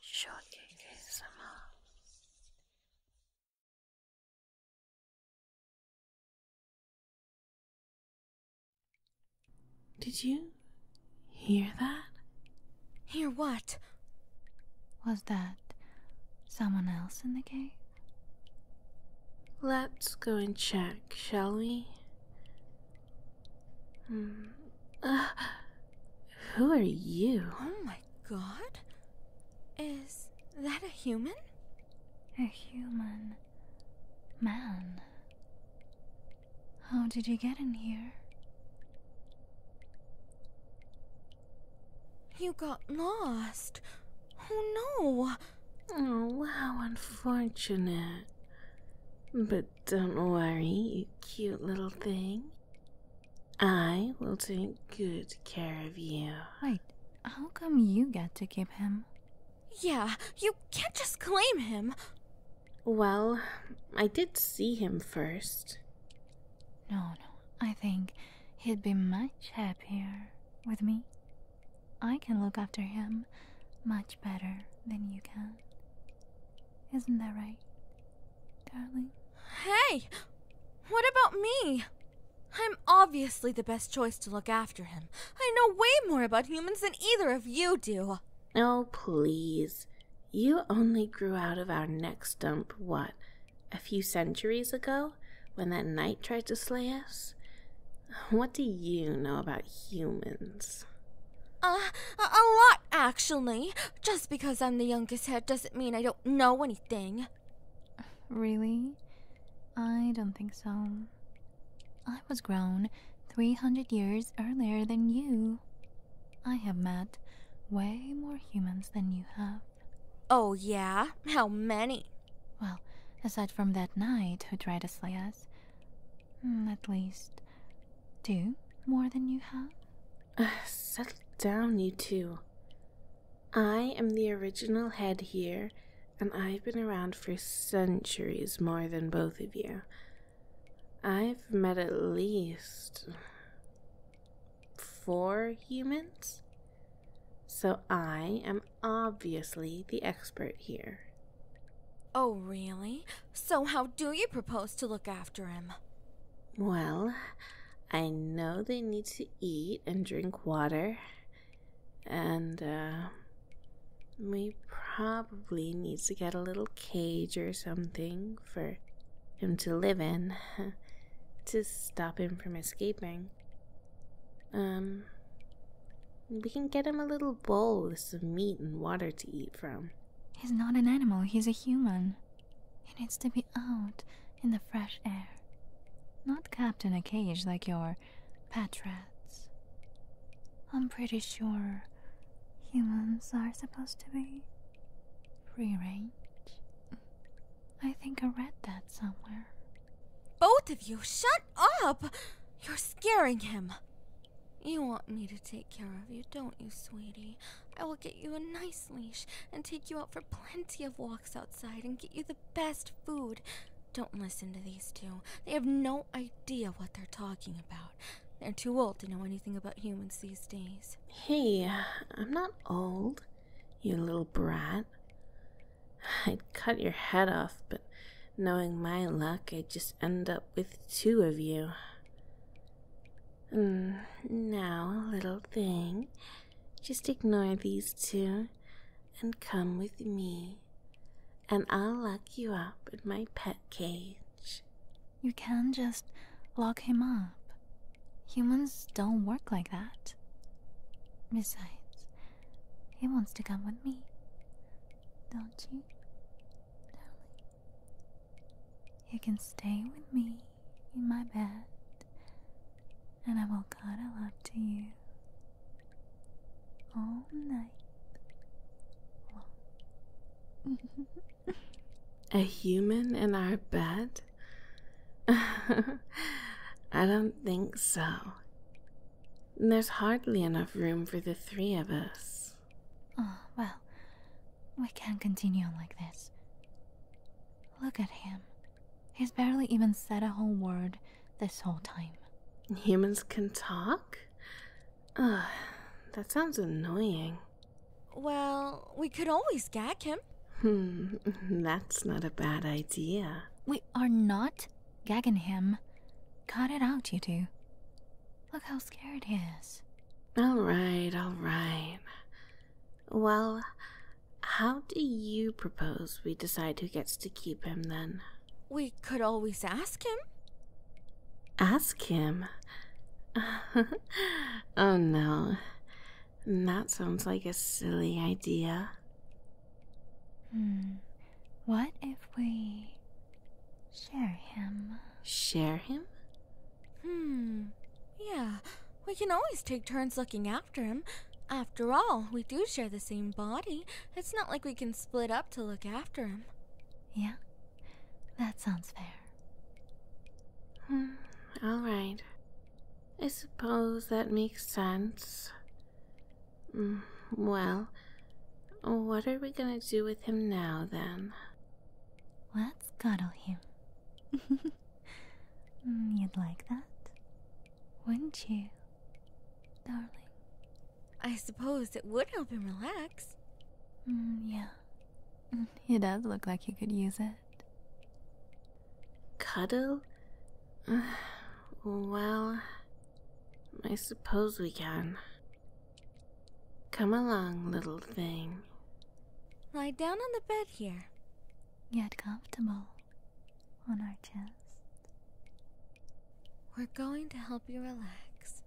Shorty ASMR Did you hear that? Hear what? Was that someone else in the cave? Let's go and check, shall we? Hmm. Uh, who are you? Oh my god. Is that a human? A human. Man. How did you get in here? You got lost. Oh no. Oh, how unfortunate. But don't worry, you cute little thing. I will take good care of you. Wait, how come you get to keep him? Yeah, you can't just claim him. Well, I did see him first. No, no, I think he'd be much happier with me. I can look after him much better than you can. Isn't that right, darling? Hey! What about me? I'm obviously the best choice to look after him. I know way more about humans than either of you do. Oh, please. You only grew out of our neck stump what, a few centuries ago? When that knight tried to slay us? What do you know about humans? a, uh, a lot, actually. Just because I'm the youngest here doesn't mean I don't know anything. Really? I don't think so. I was grown 300 years earlier than you. I have met way more humans than you have. Oh, yeah? How many? Well, aside from that knight who tried to slay us, Mm, at least two more than you have? Uh, settle down, you two. I am the original head here, and I've been around for centuries more than both of you. I've met at least four humans. So I am obviously the expert here. Oh, really? So, how do you propose to look after him? Well, I know they need to eat and drink water, and uh, we probably need to get a little cage or something for him to live in to stop him from escaping. Um, we can get him a little bowl with some meat and water to eat from. He's not an animal, he's a human. He needs to be out in the fresh air. Not kept in a cage like your pet rats. I'm pretty sure humans are supposed to be free range. I think I read that somewhere. Both of you, shut up! You're scaring him. You want me to take care of you, don't you, sweetie? I will get you a nice leash and take you out for plenty of walks outside and get you the best food. Don't listen to these two. They have no idea what they're talking about. They're too old to know anything about humans these days. Hey, I'm not old, you little brat. I'd cut your head off, but knowing my luck, I'd just end up with two of you. Mm, now, little thing, just ignore these two and come with me, and I'll lock you up in my pet cage. You can just lock him up. Humans don't work like that. Besides, he wants to come with me. Don't you? You can stay with me in my bed, and I will cuddle up to you all night A human in our bed? I don't think so. And there's hardly enough room for the three of us. Oh, well, we can't continue on like this. Look at him. He's barely even said a whole word this whole time. Humans can talk? Ugh, that sounds annoying. Well, we could always gag him. Hmm, that's not a bad idea. We are not gagging him. Cut it out, you two. Look how scared he is. Alright, alright. Well, how do you propose we decide who gets to keep him then? We could always ask him. Ask him? oh no. And that sounds like a silly idea. Hmm. What if we share him? Share him? Hmm. Yeah, we can always take turns looking after him. After all, we do share the same body. It's not like we can split up to look after him. Yeah, that sounds fair. Hmm, alright. I suppose that makes sense. Mm, well, what are we gonna do with him now then? Let's cuddle him. Mm, you'd like that? Wouldn't you, darling? I suppose it would help him relax. Mm, yeah. He does look like he could use it. Cuddle? well, I suppose we can. Come along, little thing. Lie down on the bed here. Get comfortable on our chest. We're going to help you relax.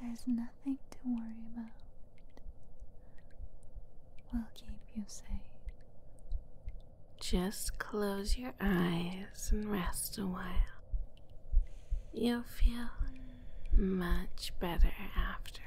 There's nothing to worry about we will keep you safe. Just close your eyes and rest a while. You'll feel much better afterwards.